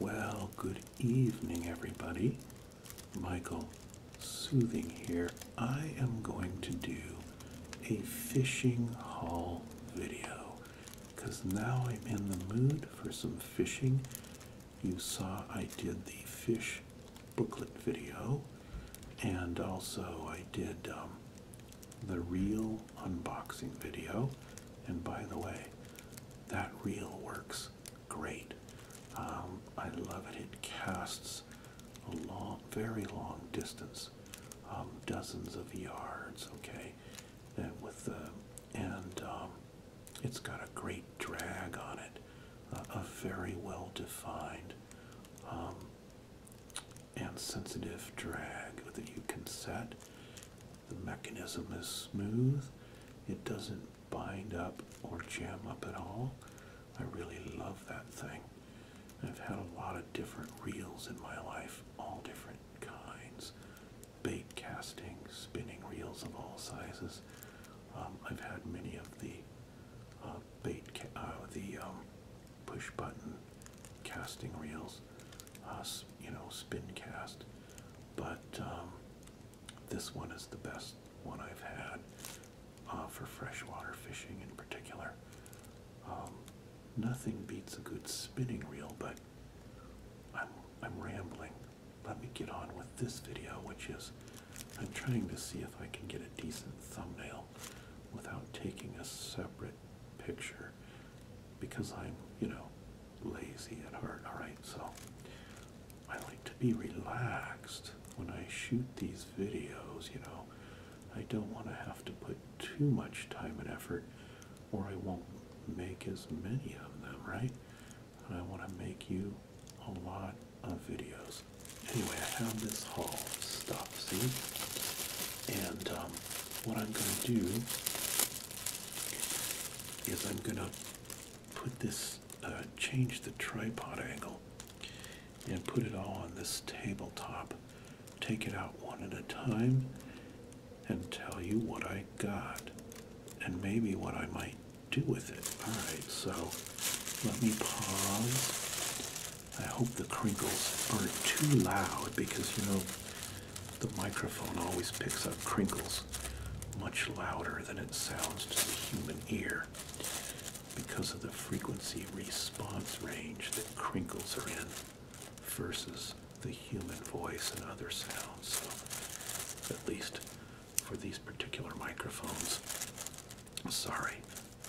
Well, good evening, everybody. Michael Soothing here. I am going to do a fishing haul video because now I'm in the mood for some fishing. You saw I did the fish booklet video and also I did um, the reel unboxing video. And by the way, that reel works great. Um, I love it. It casts a long, very long distance, um, dozens of yards. Okay, and with the and um, it's got a great drag on it, a very well defined and sensitive drag that you can set. The mechanism is smooth. It doesn't bind up or jam up at all. I really love that thing. I've had a lot of different reels in my life, all different kinds. Bait casting, spinning reels of all sizes. Um, I've had many of the uh, bait, uh, the um, push button casting reels you know, spin cast, but um, this one is the best one I've had uh, for freshwater fishing in particular. Um, nothing beats a good spinning reel, but I'm, I'm rambling. Let me get on with this video, which is I'm trying to see if I can get a decent thumbnail without taking a separate picture because I'm, you know, lazy and hurt. alright? So I like to be relaxed when I shoot these videos, you know. I don't want to have to put too much time and effort or I won't make as many of them, right? I want to make you a lot of videos. Anyway, I have this haul stuff, see? And um, what I'm going to do is I'm going to put this, uh, change the tripod angle and put it all on this tabletop. Take it out one at a time and tell you what I got and maybe what I might do with it. Alright, so let me pause. I hope the crinkles aren't too loud because you know the microphone always picks up crinkles much louder than it sounds to the human ear because of the frequency response range that crinkles are in versus the human voice and other sounds. So, at least for these particular microphones, sorry,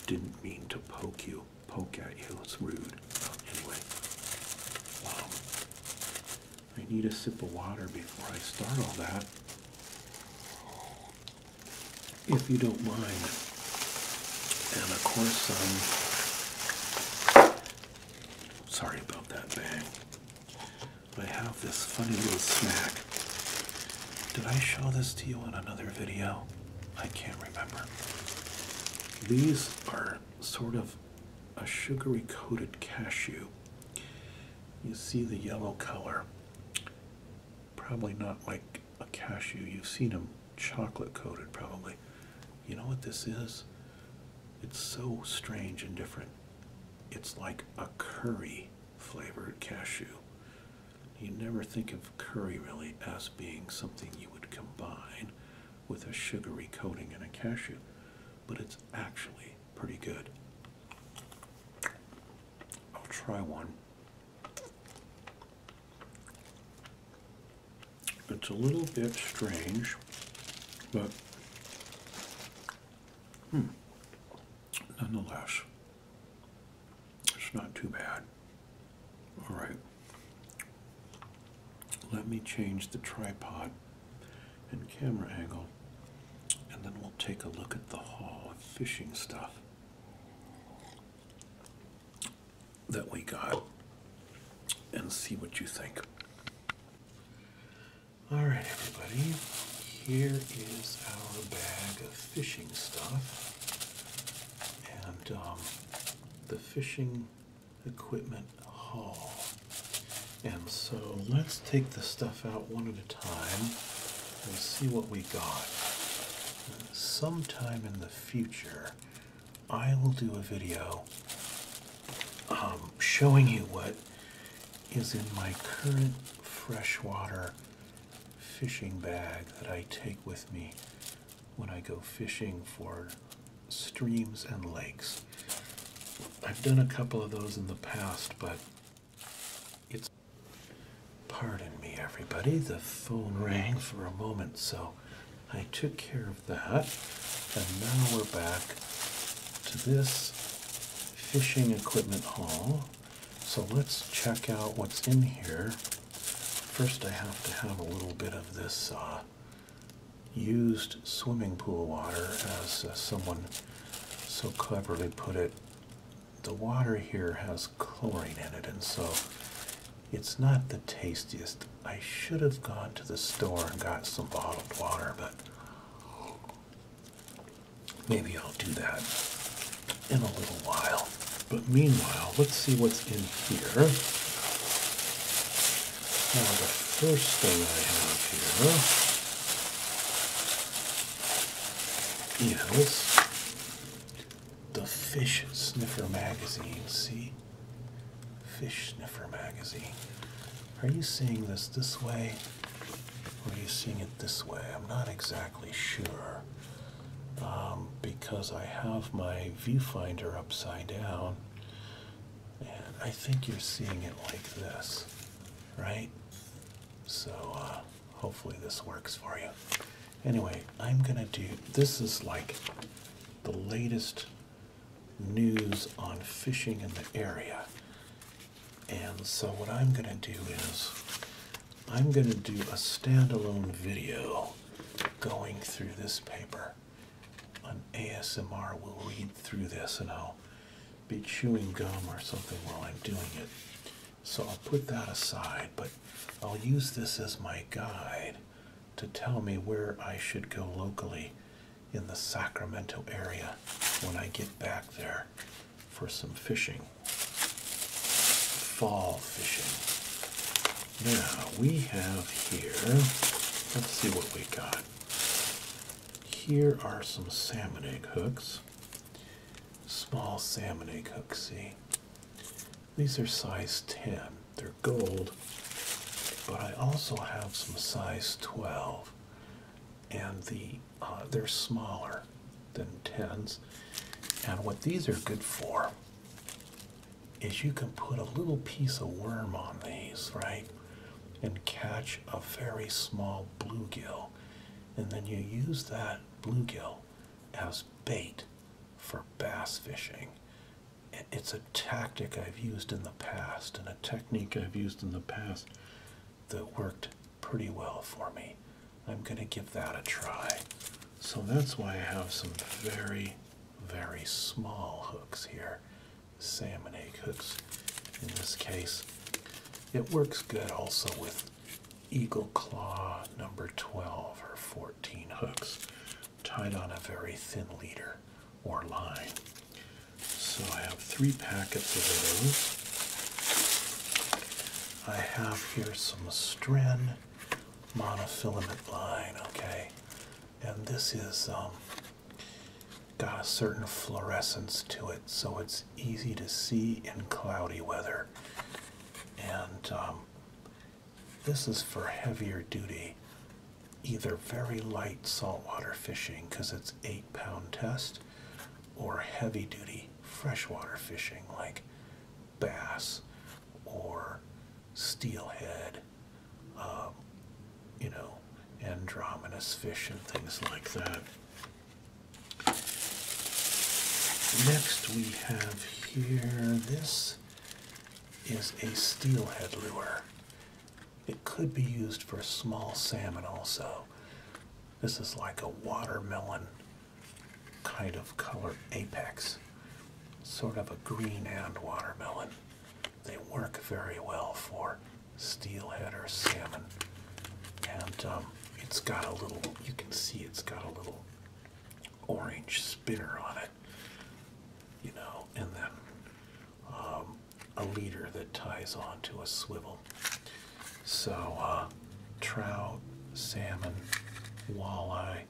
didn't mean to poke you, poke at you, it's rude. Anyway, um, I need a sip of water before I start all that. If you don't mind. And of course, um, sorry about that bang. I have this funny little snack. Did I show this to you in another video? I can't remember. These are sort of a sugary coated cashew. You see the yellow color. Probably not like a cashew. You've seen them chocolate coated, probably. You know what this is? It's so strange and different. It's like a curry flavored cashew. You never think of curry really as being something you would combine with a sugary coating and a cashew, but it's actually pretty good. I'll try one. It's a little bit strange, but hmm, nonetheless, it's not too bad. All right. Let me change the tripod and camera angle, and then we'll take a look at the haul of fishing stuff that we got and see what you think. Alright, everybody, here is our bag of fishing stuff. And um, the fishing equipment haul. And so let's take the stuff out one at a time and see what we got. Sometime in the future, I will do a video um, showing you what is in my current freshwater fishing bag that I take with me when I go fishing for streams and lakes. I've done a couple of those in the past, but it's. Pardon me, everybody, the phone rang for a moment, so I took care of that, and now we're back to this fishing equipment haul. So let's check out what's in here. First, I have to have a little bit of this uh, used swimming pool water, as uh, someone so cleverly put it. The water here has chlorine in it, and so it's not the tastiest. I should have gone to the store and got some bottled water, but maybe I'll do that in a little while. But meanwhile, let's see what's in here. Now, the first thing I have here is the Fish Sniffer magazine. See? Fish Sniffer magazine. Are you seeing this this way? Or are you seeing it this way? I'm not exactly sure. Um, because I have my viewfinder upside down and I think you're seeing it like this, right? So uh, hopefully this works for you. Anyway, I'm gonna do, this is like the latest news on fishing in the area. And so what I'm gonna do is, I'm gonna do a standalone video going through this paper. an ASMR, will read through this and I'll be chewing gum or something while I'm doing it. So I'll put that aside, but I'll use this as my guide to tell me where I should go locally in the Sacramento area when I get back there for some fishing. Fall fishing. Now we have here, let's see what we got. Here are some salmon egg hooks. Small salmon egg hooks, see? These are size 10. They're gold, but I also have some size 12. And the uh, they're smaller than 10s. And what these are good for is you can put a little piece of worm on these, right? And catch a very small bluegill. And then you use that bluegill as bait for bass fishing. It's a tactic I've used in the past and a technique I've used in the past that worked pretty well for me. I'm going to give that a try. So that's why I have some very, very small hooks here. Salmon egg hooks in this case. It works good also with Eagle Claw number 12 or 14 hooks tied on a very thin leader or line. So I have three packets of those. I have here some strin monofilament line, okay? And this is um, got a certain fluorescence to it, so it's easy to see in cloudy weather. And um, this is for heavier duty, either very light saltwater fishing, because it's eight pound test, or heavy duty freshwater fishing, like bass or steelhead, um, you know, andromedous fish and things like that. Next we have here, this is a steelhead lure. It could be used for small salmon also. This is like a watermelon kind of color apex, sort of a green and watermelon. They work very well for steelhead or salmon. And um, it's got a little, you can see it's got a little orange spinner on it, you know, and then um, a leader that ties onto a swivel. So uh, trout, salmon, walleye,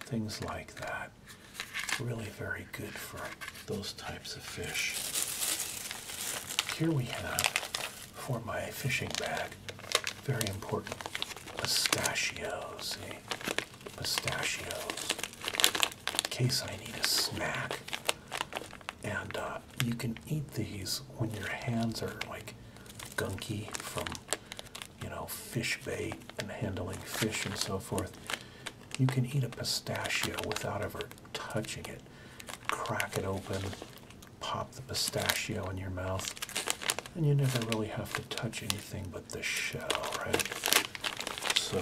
things like that. Really very good for those types of fish. Here we have for my fishing bag, very important pistachios. Eh? Pistachios. In case I need a snack. And uh, you can eat these when your hands are like gunky from you know, fish bait and handling fish and so forth. You can eat a pistachio without ever touching it. Crack it open, pop the pistachio in your mouth, and you never really have to touch anything but the shell, right? So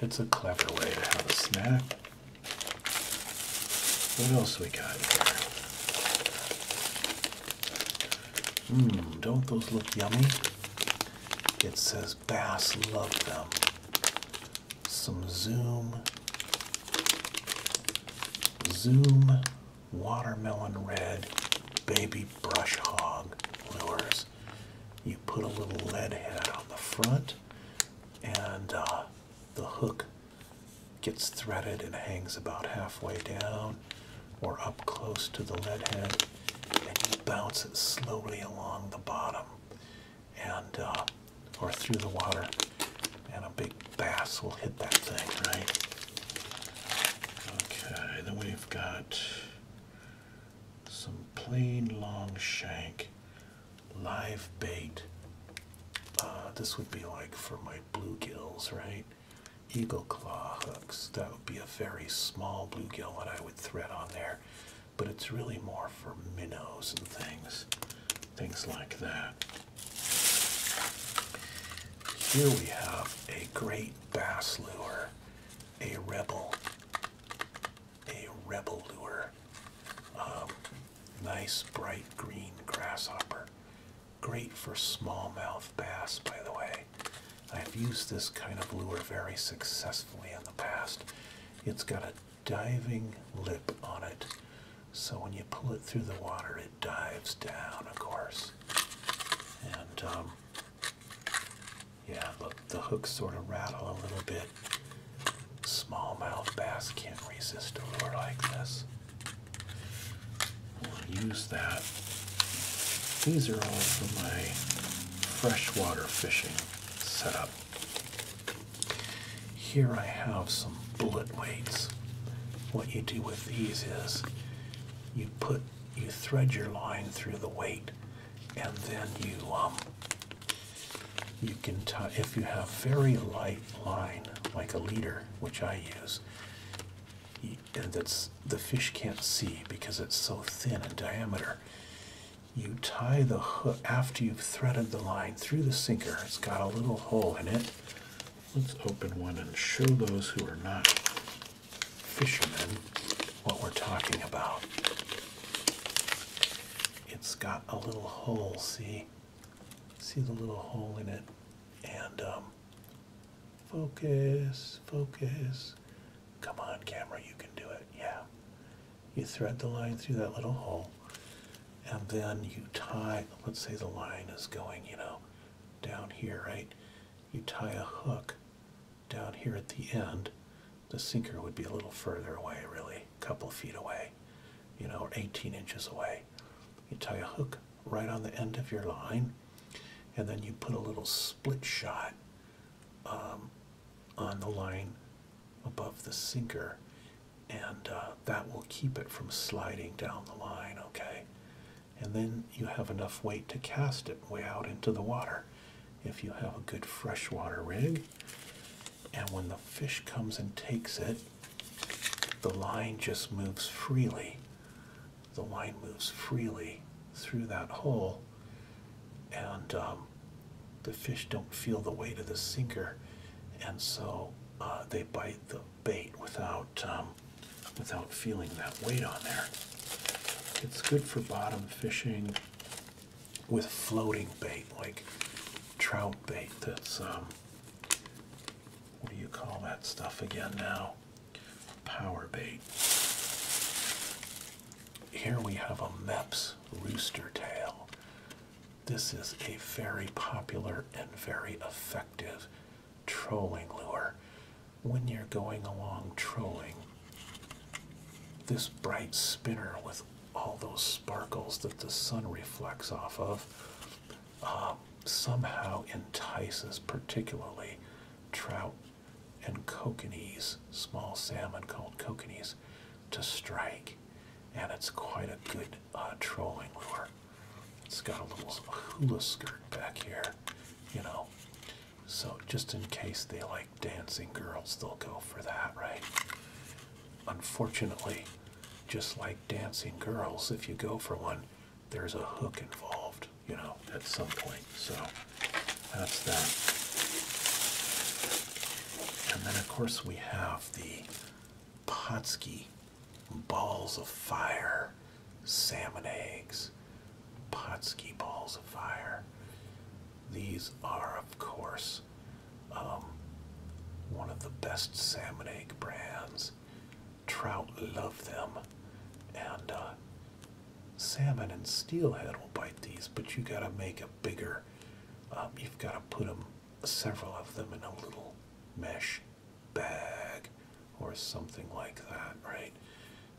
it's a clever way to have a snack. What else we got here? Mmm, don't those look yummy? It says bass love them. Some Zoom, Zoom watermelon red baby brush hog lures. You put a little lead head on the front and uh, the hook gets threaded and hangs about halfway down or up close to the lead head and you bounce it slowly along the bottom and uh, or through the water and a big bass will hit that thing right okay then we've got some plain long shank live bait uh, this would be like for my bluegills, right? Eagle claw hooks. That would be a very small bluegill that I would thread on there, but it's really more for minnows and things, things like that. Here we have a great bass lure, a rebel, a rebel lure. Um, nice bright green grasshopper Great for smallmouth bass, by the way. I've used this kind of lure very successfully in the past. It's got a diving lip on it, so when you pull it through the water, it dives down, of course. And um, yeah, look, the hooks sort of rattle a little bit. Smallmouth bass can't resist a lure like this use that. These are all for my freshwater fishing setup. Here I have some bullet weights. What you do with these is you put you thread your line through the weight and then you um, you can tie if you have very light line like a leader which I use, and that's the fish can't see because it's so thin in diameter. You tie the hook after you've threaded the line through the sinker. It's got a little hole in it. Let's open one and show those who are not fishermen what we're talking about. It's got a little hole, see? See the little hole in it. And um, focus, focus. Come on, camera, you can do it. Yeah. You thread the line through that little hole. And then you tie, let's say the line is going, you know, down here, right? You tie a hook down here at the end. The sinker would be a little further away, really, a couple feet away, you know, or 18 inches away you tie a hook right on the end of your line, and then you put a little split shot um, on the line above the sinker, and uh, that will keep it from sliding down the line, okay? And then you have enough weight to cast it way out into the water if you have a good freshwater rig. And when the fish comes and takes it, the line just moves freely. The line moves freely through that hole, and um, the fish don't feel the weight of the sinker, and so uh, they bite the bait without um, without feeling that weight on there. It's good for bottom fishing with floating bait like trout bait that's um, what do you call that stuff again now? Power bait. Here we have a MEPS rooster tail. This is a very popular and very effective trolling lure. When you're going along trolling, this bright spinner with all those sparkles that the sun reflects off of um, somehow entices particularly trout and kokanese, small salmon called kokanese, to strike. And it's quite a good uh, trolling lure. It's got a little hula skirt back here, you know. So just in case they like dancing girls, they'll go for that, right? Unfortunately, just like dancing girls if you go for one there's a hook involved you know at some point so that's that and then of course we have the Potsky balls of fire salmon eggs Potsky balls of fire these are of course um, one of the best salmon egg brands. Trout love them, and uh, salmon and steelhead will bite these. But you gotta make a bigger. Um, you've gotta put them, several of them, in a little mesh bag or something like that, right?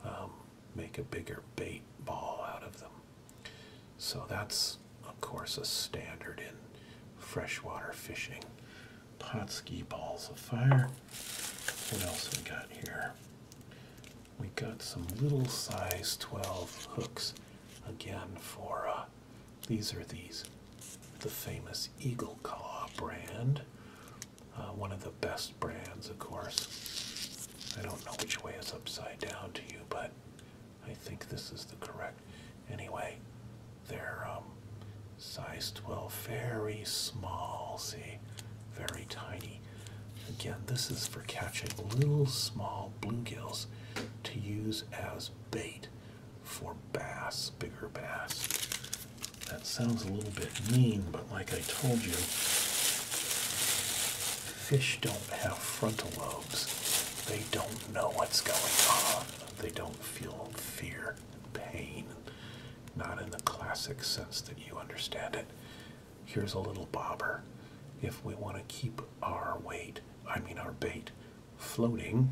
Um, make a bigger bait ball out of them. So that's, of course, a standard in freshwater fishing. Potski balls of fire. What else we got here? We got some little size 12 hooks again for uh, these are these the famous Eagle Claw brand. Uh, one of the best brands, of course. I don't know which way is upside down to you, but I think this is the correct. Anyway, they're um, size 12, very small, see, very tiny. Again, this is for catching little small bluegills to use as bait for bass, bigger bass. That sounds a little bit mean, but like I told you, fish don't have frontal lobes. They don't know what's going on. They don't feel fear and pain. Not in the classic sense that you understand it. Here's a little bobber. If we want to keep our weight, I mean our bait, floating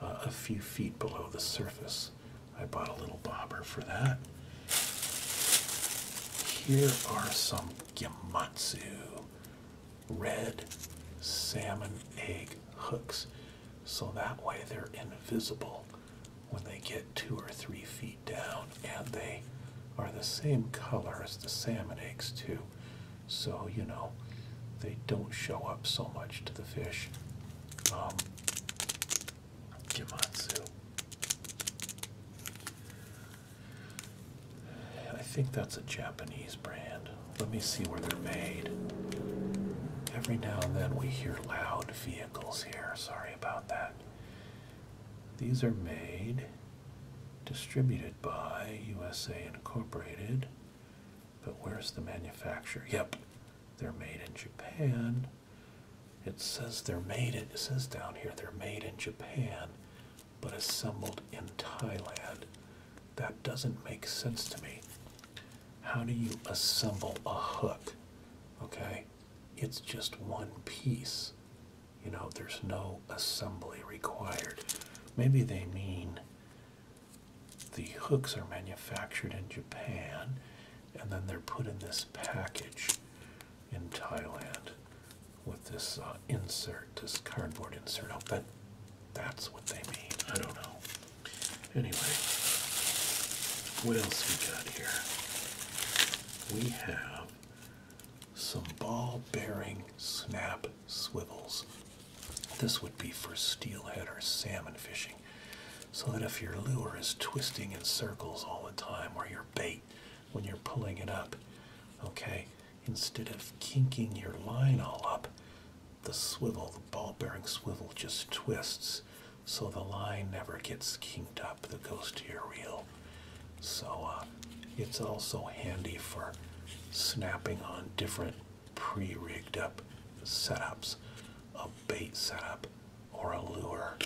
uh, a few feet below the surface, I bought a little bobber for that. Here are some Gimatsu red salmon egg hooks so that way they're invisible when they get two or three feet down and they are the same color as the salmon eggs too so you know they don't show up so much to the fish um, Gimatsu. I think that's a Japanese brand. Let me see where they're made. Every now and then we hear loud vehicles here. Sorry about that. These are made, distributed by USA Incorporated. But where's the manufacturer? Yep, they're made in Japan. It says they're made, it says down here they're made in Japan but assembled in Thailand. That doesn't make sense to me. How do you assemble a hook? Okay, it's just one piece. You know, there's no assembly required. Maybe they mean the hooks are manufactured in Japan and then they're put in this package in Thailand with this uh, insert, this cardboard insert. I'll that's what they mean. I don't know. Anyway, what else we got here? We have some ball bearing snap swivels. This would be for steelhead or salmon fishing, so that if your lure is twisting in circles all the time or your bait when you're pulling it up. Okay, instead of kinking your line all up, the swivel, the ball bearing swivel just twists so the line never gets kinked up that goes to your reel. So uh, it's also handy for snapping on different pre-rigged up setups, a bait setup or a lure,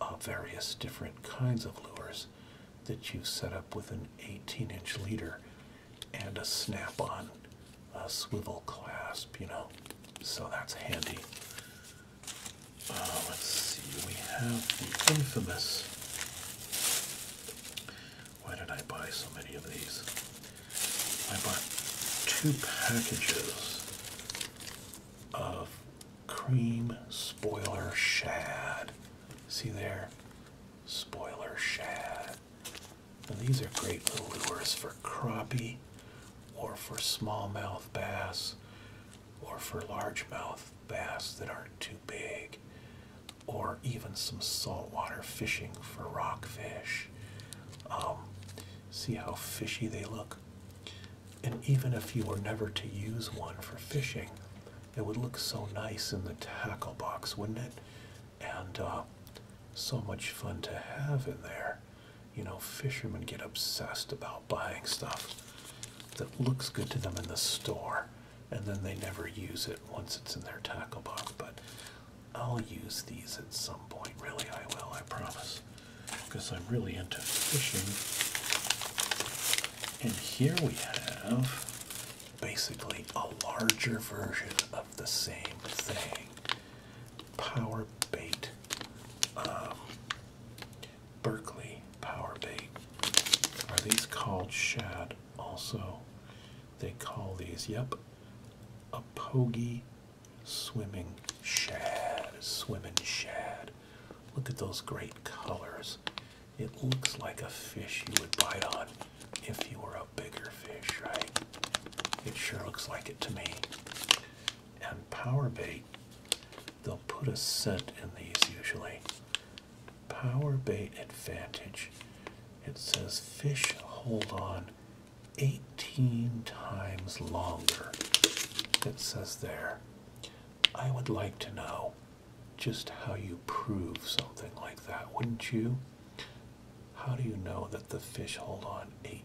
uh, various different kinds of lures that you set up with an 18 inch leader and a snap on a swivel clasp, you know, so that's handy. Uh, let's see, we have the infamous. Why did I buy so many of these? I bought two packages of cream spoiler shad. See there? Spoiler shad. these are great little lures for crappie or for smallmouth bass or for largemouth bass that aren't too big or even some saltwater fishing for rockfish. Um, see how fishy they look? And even if you were never to use one for fishing, it would look so nice in the tackle box, wouldn't it? And uh, so much fun to have in there. You know, fishermen get obsessed about buying stuff that looks good to them in the store, and then they never use it once it's in their tackle box. But I'll use these at some point. Really, I will, I promise. Because I'm really into fishing. And here we have basically a larger version of the same thing. Power bait. Um, Berkeley power bait. Are these called shad also? They call these, yep, a pogie swimming shad. Swimming shad. Look at those great colors. It looks like a fish you would bite on if you were a bigger fish, right? It sure looks like it to me. And power bait, they'll put a scent in these usually. Power bait advantage. It says fish hold on 18 times longer. It says there. I would like to know just how you prove something like that, wouldn't you? How do you know that the fish hold on 18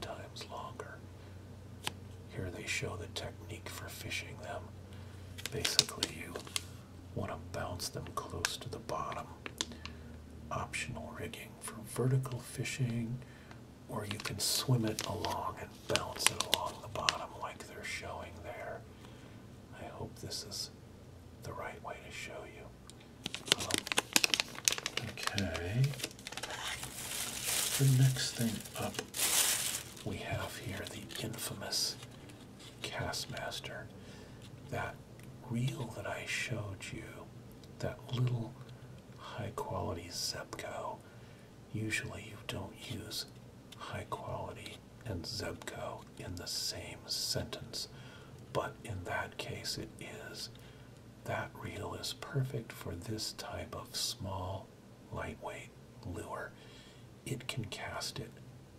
times longer? Here they show the technique for fishing them. Basically, you want to bounce them close to the bottom. Optional rigging for vertical fishing, or you can swim it along and bounce it along the bottom like they're showing there. I hope this is the right way to show you. Um, okay. The next thing up we have here the infamous Castmaster. That reel that I showed you, that little high quality Zepco Usually, you don't use high quality and Zebco in the same sentence, but in that case, it is. That reel is perfect for this type of small, lightweight lure. It can cast it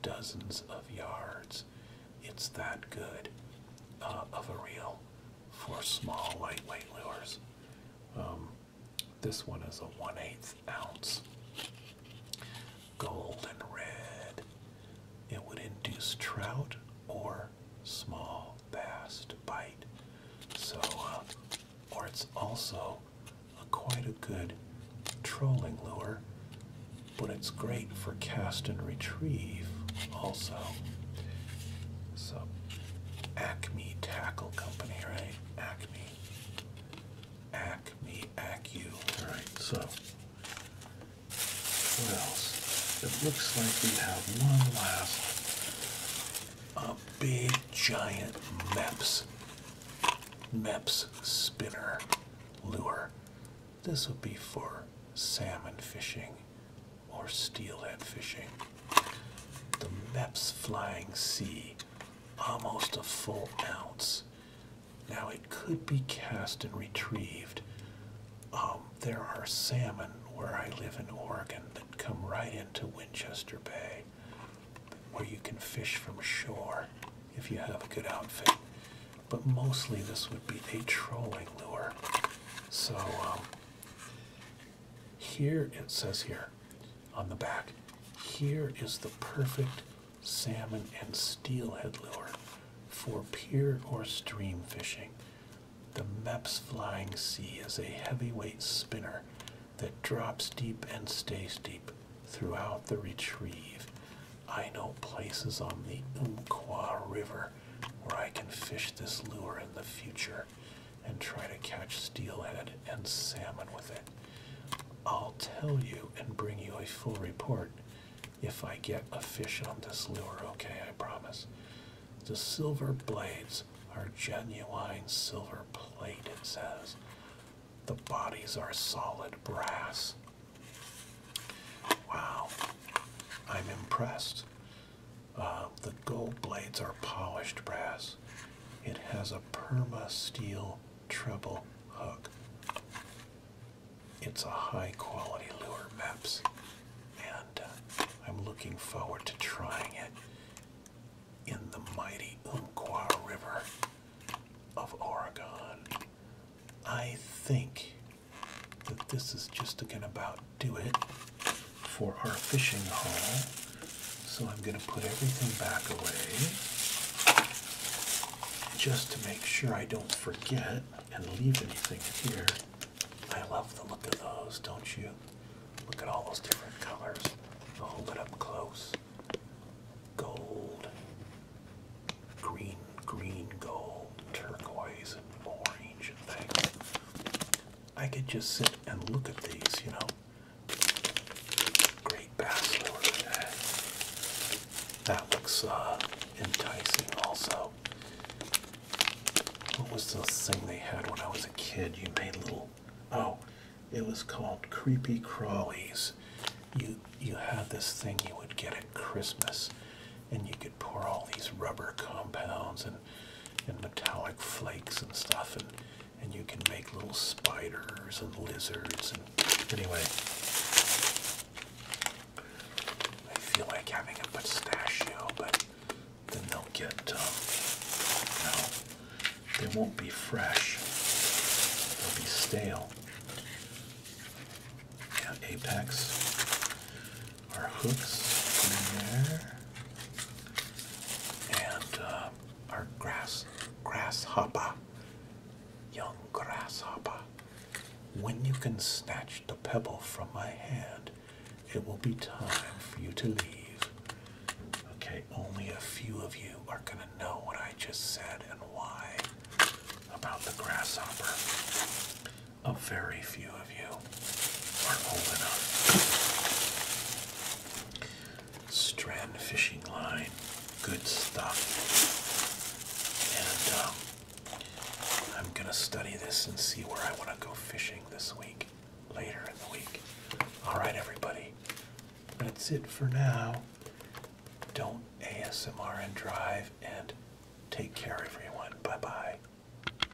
dozens of yards. It's that good uh, of a reel for small, lightweight lures. Um, this one is a 1 8 ounce. Gold red. It would induce trout or small bass to bite. So, uh, or it's also a, quite a good trolling lure, but it's great for cast and retrieve also. So, Acme Tackle Company, right? Acme Acme, Acu. Alright, so what else? It looks like we have one last a big giant MEPS. MEPS spinner lure. This would be for salmon fishing or steelhead fishing. The MEPS Flying Sea, almost a full ounce. Now it could be cast and retrieved. Um, there are salmon where I live in Oregon that come right into Winchester Bay, where you can fish from shore if you have a good outfit. But mostly this would be a trolling lure. So um, here it says here on the back, here is the perfect salmon and steelhead lure for pier or stream fishing. The MEPS Flying Sea is a heavyweight spinner that drops deep and stays deep throughout the retrieve. I know places on the Umqua River where I can fish this lure in the future and try to catch steelhead and salmon with it. I'll tell you and bring you a full report if I get a fish on this lure, okay? I promise. The silver blades are genuine silver plated. says. The bodies are solid brass. Wow, I'm impressed. Uh, the gold blades are polished brass. It has a perma steel treble hook. It's a high quality lure, Maps, and uh, I'm looking forward to trying it in the mighty Umpqua River of Oregon. I think that this is just again about do it for our fishing haul. So I'm going to put everything back away just to make sure I don't forget and leave anything here. I love the look of those, don't you? Look at all those different colors. I'll hold it up close. Gold, green, green gold, turquoise, and orange and things. I could just sit and look at these, you know. Great bass That looks uh, enticing also. What was the thing they had when I was a kid? You made little, oh, it was called Creepy Crawlies. You, you had this thing you would get at Christmas and you could pour all these rubber compounds and, metallic flakes and stuff and and you can make little spiders and lizards and anyway I feel like having a pistachio but then they'll get um, no they won't be fresh they'll be stale apex our hooks in there, and uh, our grass grasshopper, young grasshopper. When you can snatch the pebble from my hand, it will be time for you to leave. Okay, only a few of you are gonna know what I just said and why about the grasshopper. A very few of you. Strand fishing line, good stuff. And um, I'm gonna study this and see where I wanna go fishing this week, later in the week. Alright everybody, that's it for now. Don't ASMR and drive and take care everyone. Bye bye.